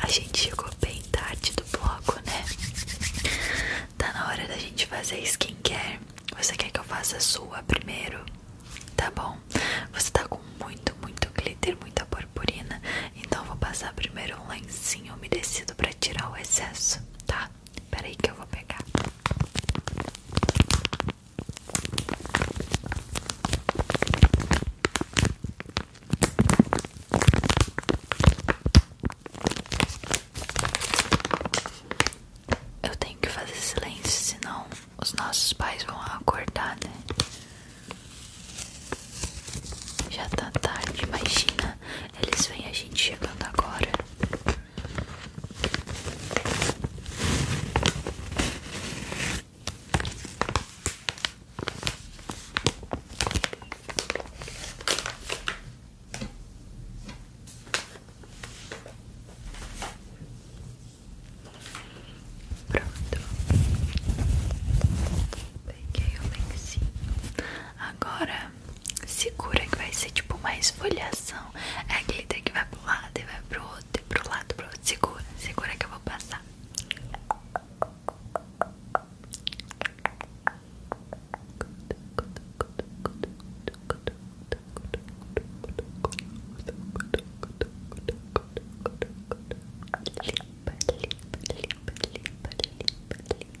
A gente chegou bem tarde do bloco, né? Tá na hora da gente fazer skincare. Você quer que eu faça a sua primeiro? Tá bom. Você tá com muito, muito glitter, muita purpurina. Então vou passar primeiro um lencinho umedecido para tirar o excesso, tá? Peraí que eu vou pegar. Eu tenho que fazer silêncio, senão os nossos pais vão acordar, né? Já tá tarde, imagina. Eles veem a gente chegando agora. Pronto, peguei o lencinho. Agora segura que vai ser tipo uma esfoliação. É aquele que vai pro lado e vai pro outro, e pro lado, pro outro. Segura, segura que eu vou passar. limpa, limpa, limpa, limpa, limpa,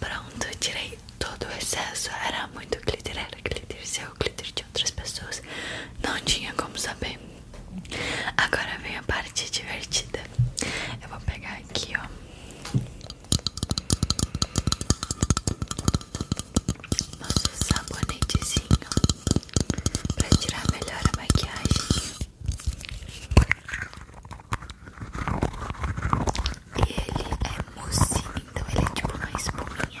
Pronto, tirei todo o excesso. Era muito glitter, era glitter seu, glitter de outras pessoas. Não tinha como saber. Agora vem a parte divertida. Eu vou pegar aqui, ó nosso sabonetezinho para tirar melhor a maquiagem. E ele é mocinho, então ele é tipo uma espuminha.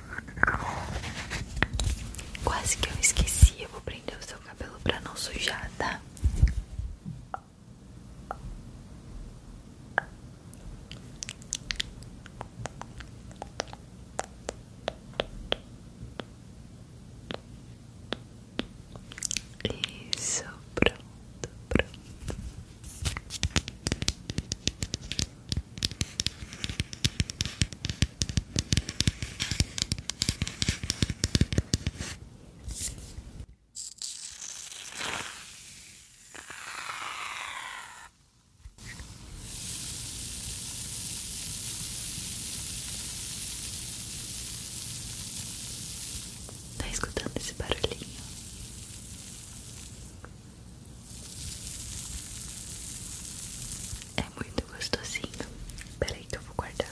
Quase que eu esqueci. Eu vou prender o seu cabelo pra não sujar, tá? Isso, pronto, pronto. Tá escutando esse barulhinho? É muito gostosinho. Peraí que eu vou guardar.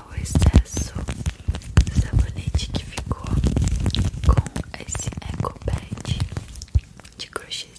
o excesso do sabonete que ficou com esse eco pad de crochêzinho.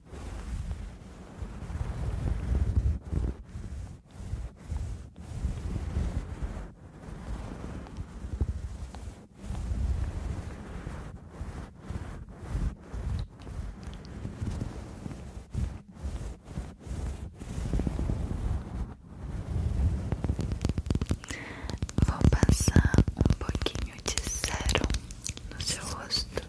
Vou passar um pouquinho de sérum no seu rosto.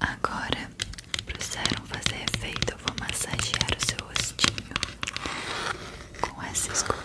Agora, para o sérum fazer efeito, eu vou massagear o seu rostinho com essa escovinha.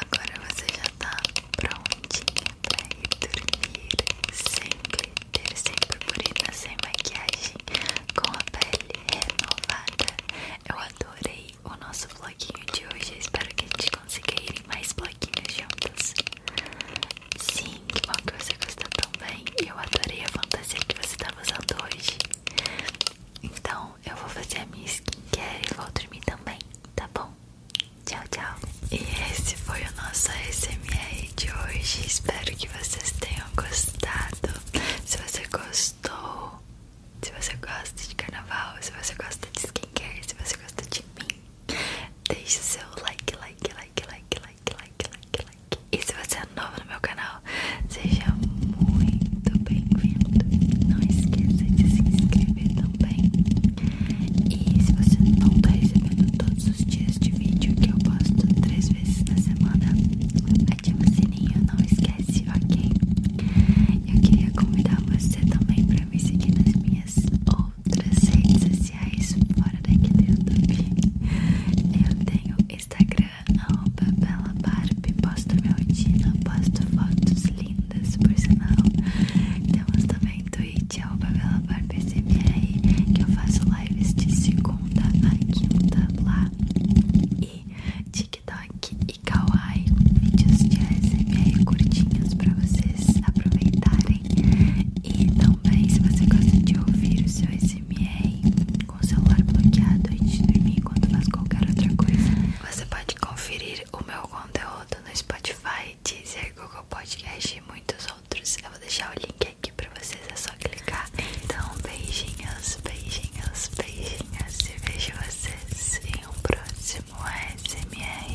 Agora você já tá prontinha pra ir dormir sempre inteiro sem purpurina, sem maquiagem, com a pele renovada. Eu adorei o nosso bloquinho de hoje. espero que a gente consiga ir mais bloquinhos juntos. Sim, que bom que você gostou também. Eu adorei a fantasia que você estava usando hoje. Então eu vou fazer a minha skincare e vou dormir também, tá bom? Tchau, tchau. E esse foi o nosso ASMR de hoje. Espero que vocês tenham gostado. Se você gostou, se você gosta de carnaval, se você gosta de skincare, se você gosta de mim, deixe seu like, like, like, like, like, like, like, like. E se você é novo no meu canal, seja muito bem-vindo. Não esqueça de se inscrever também. E se você não tá recebendo todos os dias de vídeo que eu posto três vezes na semana, ativa o sininho, não esquece, ok? Eu queria convidar você também para me seguir nas minhas outras redes sociais fora daqui do YouTube. Eu tenho Instagram, arroba Bela Barbie, posto minha rotina, posto fotos lindas, por sinal. Temos também em Pavela arroba VelabarPCBR, que eu faço lives de segunda a quinta lá. E TikTok e Kawaii, vídeos de ASMR curtinhos pra vocês aproveitarem. E também, se você gosta de ouvir o seu ASMR com o celular bloqueado e de dormir, quando faz qualquer outra coisa, você pode conferir o meu conteúdo no Spotify dizer Deezer, Google Podcast e muitos outros. Eu vou deixar o link aqui pra vocês, é só clicar. Então, beijinhos, beijinhos, beijinhos e vejo vocês em um próximo ASMR.